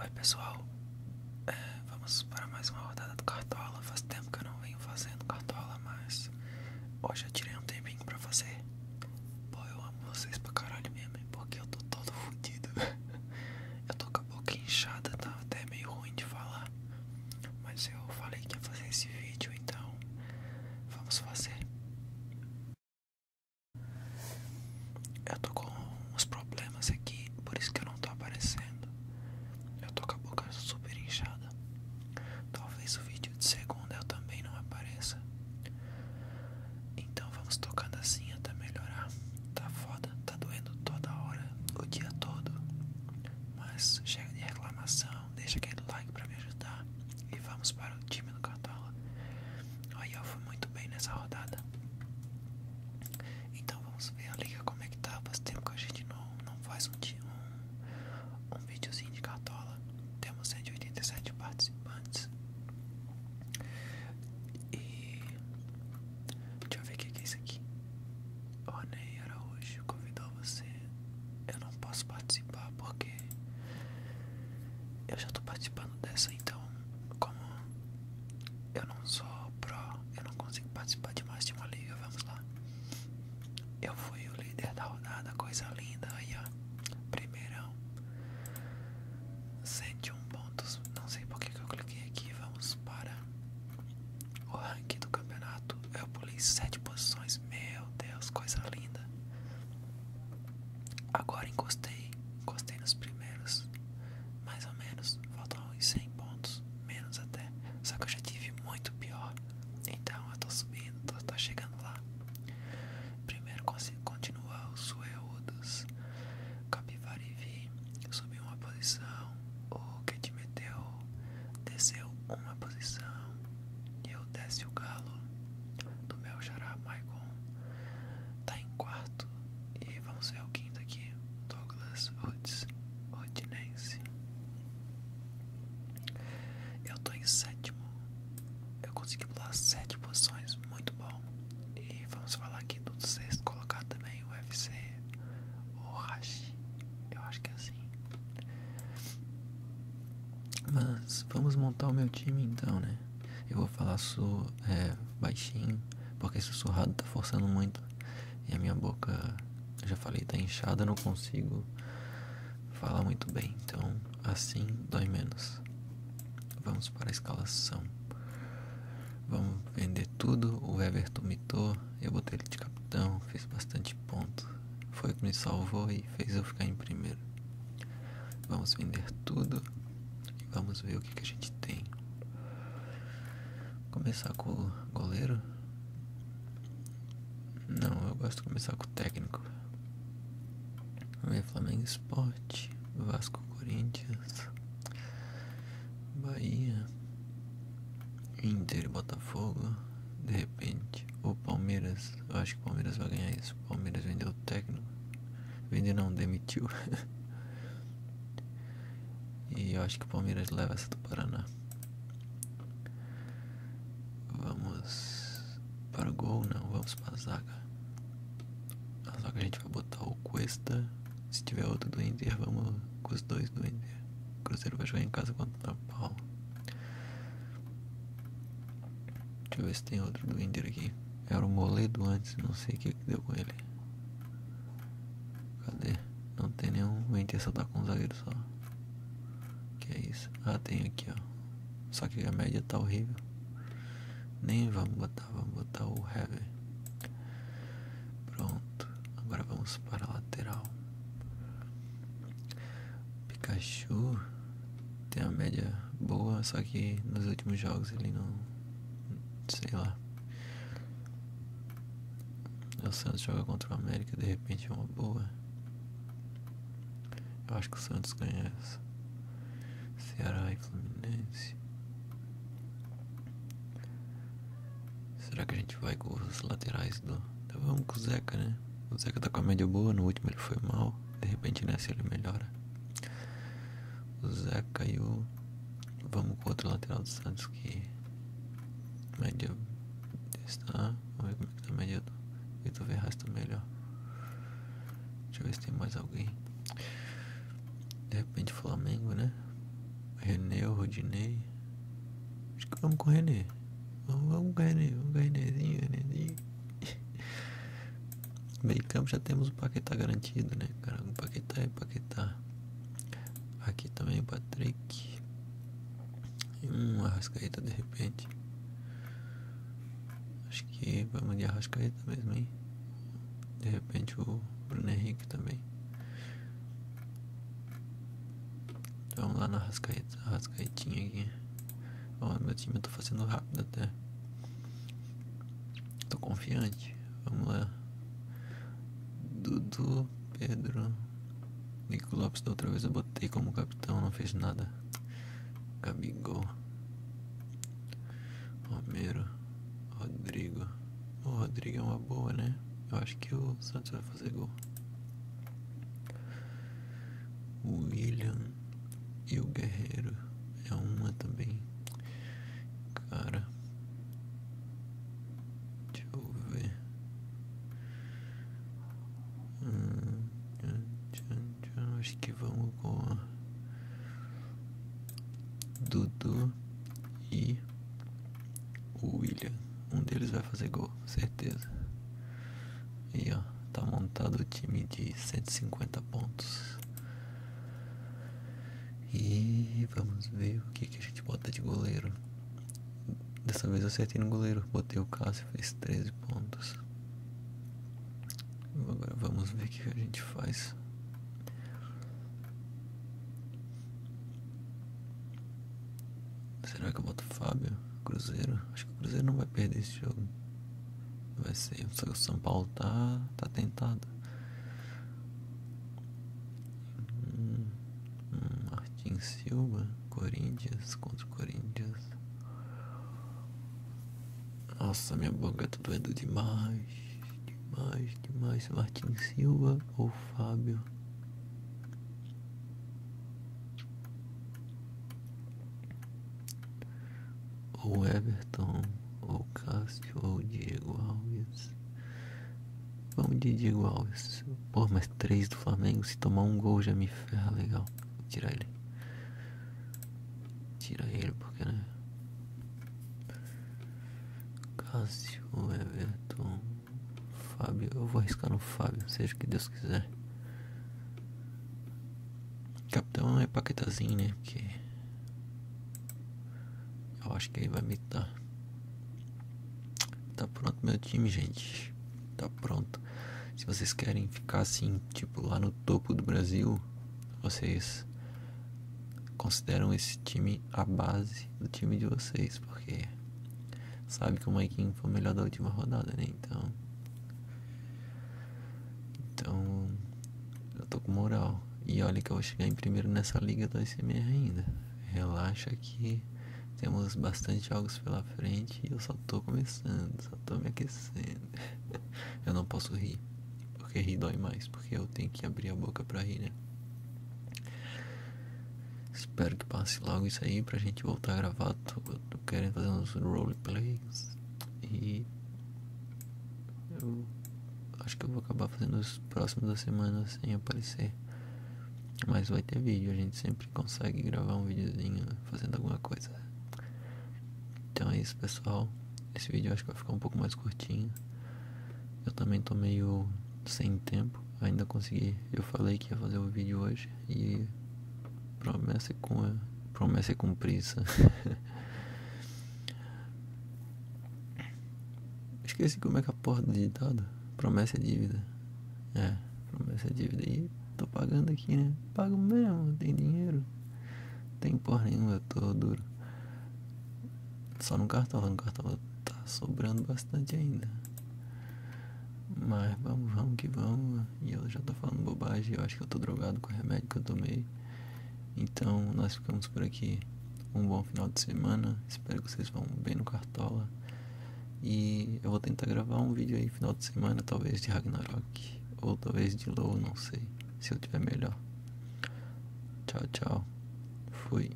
Oi pessoal, é, vamos para mais uma rodada do Cartola. Faz tempo que eu não venho fazendo Cartola, mas hoje eu tirei um tempinho pra fazer. Pô, eu amo vocês pra caralho mesmo, porque eu tô todo fodido. eu tô com a boca inchada, tá até meio ruim de falar. Mas eu falei que ia fazer esse vídeo, então vamos fazer. Eu tô com uns problemas aqui, por isso que eu não tô aparecendo. Eu tô com a boca super inchada. Talvez o vídeo de segunda eu também não apareça. Então vamos tocando assim até melhorar. Tá foda, tá doendo toda hora, o dia todo. Mas chega de reclamação, deixa aquele like pra me ajudar. E vamos para o time do canal. Cartola. Aí eu foi muito bem nessa rodada. Então vamos ver a liga como é que tá. Faz tempo que a gente não, faz um, um, um videozinho de Cartola. Temos 187 participantes. E deixa eu ver o que é isso aqui. O Ronei Araújo convidou você. Eu não posso participar porque eu já tô participando dessa, então como eu não sou pró, eu não consigo participar de mais de uma liga, vamos lá. Eu fui o líder da rodada, coisa linda, aí ó, primeirão, 101 pontos, não sei porque que eu cliquei aqui, vamos para o ranking do campeonato, eu pulei 7 posições, meu Deus, coisa linda. Agora encostei, encostei nos primeiros, mais ou menos, faltam uns 100 pontos, menos até, só que eu já tive muito pior, então eu tô subindo, tô, chegando lá. Primeiro continua os sueudos, vi, subiu uma posição, o que desceu uma posição, eu Galo desce o galo do meu chará Maicon. Tá em quarto. E vamos ver o quinto aqui. Douglas Woods, Rodinense. Eu tô em sétimo. Eu consegui pular sete posições. Muito bom. E vamos falar aqui do sexto colocar também. O UFC. O Hashi. Eu acho que é assim. Mas vamos montar o meu time então, né? Eu vou falar su é, baixinho, porque sussurrado tá forçando muito. E a minha boca, já falei, tá inchada, não consigo falar muito bem. Então, assim dói menos. Vamos para a escalação. Vamos vender tudo. O Everton mitou. Eu botei ele de capitão. Fez bastante ponto. Foi o que me salvou e fez eu ficar em primeiro. Vamos vender tudo e vamos ver o que, a gente tem. Começar com o goleiro? Não, eu gosto de começar com o técnico. Vamos é, ver Flamengo Sport, Vasco Corinthians, Bahia, Inter Botafogo de repente. O Palmeiras, eu acho que o Palmeiras vai ganhar isso. O Palmeiras vendeu o técnico. Vendeu não, demitiu. e eu acho que o Palmeiras leva essa do Paraná. Vamos para o gol, não, vamos para a zaga. a zaga a gente vai botar o Cuesta. Se tiver outro do Inter, vamos com os dois do Inter. O Cruzeiro vai jogar em casa contra o Paulo. Deixa eu ver se tem outro do Inter aqui. Era o Moledo antes, não sei o que, deu com ele. Cadê? Não tem nenhum. O Inter só tá com um zagueiro só. Que é isso? Ah, tem aqui, ó. Só que a média tá horrível. Nem vamos botar, vamos botar o Heavy. Pronto. Agora vamos para a lateral. Pikachu tem a média boa, só que nos últimos jogos ele não. sei lá. O Santos joga contra o América, de repente é uma boa. Eu acho que o Santos ganha essa. Ceará e Fluminense. Será que a gente vai com os laterais do Tava um com o Zeca, né? O Zeca tá com a média boa, no último ele foi mal. De repente nessa ele melhora. O Zeca e o. Vamos com o outro lateral do Santos que. Média está. Vamos ver como é que tá a média do Vitor Ferraz tá melhor. Deixa eu ver se tem mais alguém. De repente Flamengo, né? René, Rodinei. Acho que vamos com o René. Vamos ganhar, vamos né? ganharzinho, né? ganharzinho. Meio campo já temos o Paquetá garantido, né, cara? O Paquetá é Paquetá. Aqui também o Patrick. E um Arrascaeta de repente. Acho que vamos de Arrascaeta mesmo, hein? De repente o Bruno Henrique também. Vamos lá na rascaeta, rascaetinha aqui. Ó, meu time eu tá tô fazendo rápido até. Tô confiante. Vamos lá. Dudu, Pedro. Nico Lopes da outra vez eu botei como capitão, não fez nada. Gabigol. Romero. Rodrigo. O Rodrigo é uma boa, né? Eu acho que o Santos vai fazer gol. William e o Guerreiro é uma também. Cara, deixa eu ver. Hum, acho que vamos com a Dudu e o William. Um deles vai fazer gol, certeza. E ó, tá montado o time de 150 pontos. E vamos ver o que, a gente bota de goleiro. Dessa vez eu acertei no goleiro. Botei o Cássio, fez 13 pontos. Agora vamos ver o que, que a gente faz. Será que eu boto Fábio? Cruzeiro? Acho que o Cruzeiro não vai perder esse jogo. Vai ser. Só que o São Paulo tá, tá tentado. Hum, hum Martin Silva, Corinthians contra Corinthians. Nossa, minha boca tá doendo demais. Demais, demais. Martin Silva ou Fábio? O Everton, o Cássio, o Diego Alves. Vamos de Diego Alves. Pô, mais três do Flamengo, se tomar um gol já me ferra legal. Vou tirar ele. Tira ele, porque né? Cássio, Everton. Fábio, eu vou arriscar no Fábio, seja o que Deus quiser. Capitão é paquetazinho, né? Porque. Eu acho que ele vai mitar. Tá pronto meu time, gente. Tá pronto. Se vocês querem ficar assim, tipo, lá no topo do Brasil, vocês consideram esse time a base do time de vocês, porque Sabe que o Maikin foi o melhor da última rodada, né? Então. Então. Eu tô com moral. E olha que eu vou chegar em primeiro nessa liga do ICMR ainda. Relaxa que temos bastante jogos pela frente e eu só tô começando, só tô me aquecendo. eu não posso rir, porque rir dói mais, porque eu tenho que abrir a boca pra rir, né? Espero que passe logo isso aí pra gente voltar a gravar. Tô, tô querendo fazer uns roleplays e eu acho que eu vou acabar fazendo os próximos da semana sem aparecer. Mas vai ter vídeo, a gente sempre consegue gravar um videozinho fazendo alguma coisa. Então é isso pessoal. Esse vídeo acho que vai ficar um pouco mais curtinho. Eu também tô meio sem tempo ainda consegui. Eu falei que ia fazer o vídeo hoje e promessa com promessa é cumprida. Esqueci como é que é a porra do ditado. Promessa é dívida. É, promessa é dívida. E tô pagando aqui, né? Pago mesmo, tem dinheiro. Tem porra nenhuma, eu tô duro. Só no cartão, no cartão tá sobrando bastante ainda. Mas vamos, vamos que vamos. E eu já tô falando bobagem, eu acho que eu tô drogado com o remédio que eu tomei. Então nós ficamos por aqui. Um bom final de semana. Espero que vocês vão bem no Cartola. E eu vou tentar gravar um vídeo aí final de semana, talvez de Ragnarok. Ou talvez de Low, não sei. Se eu tiver melhor. Tchau, tchau. Fui.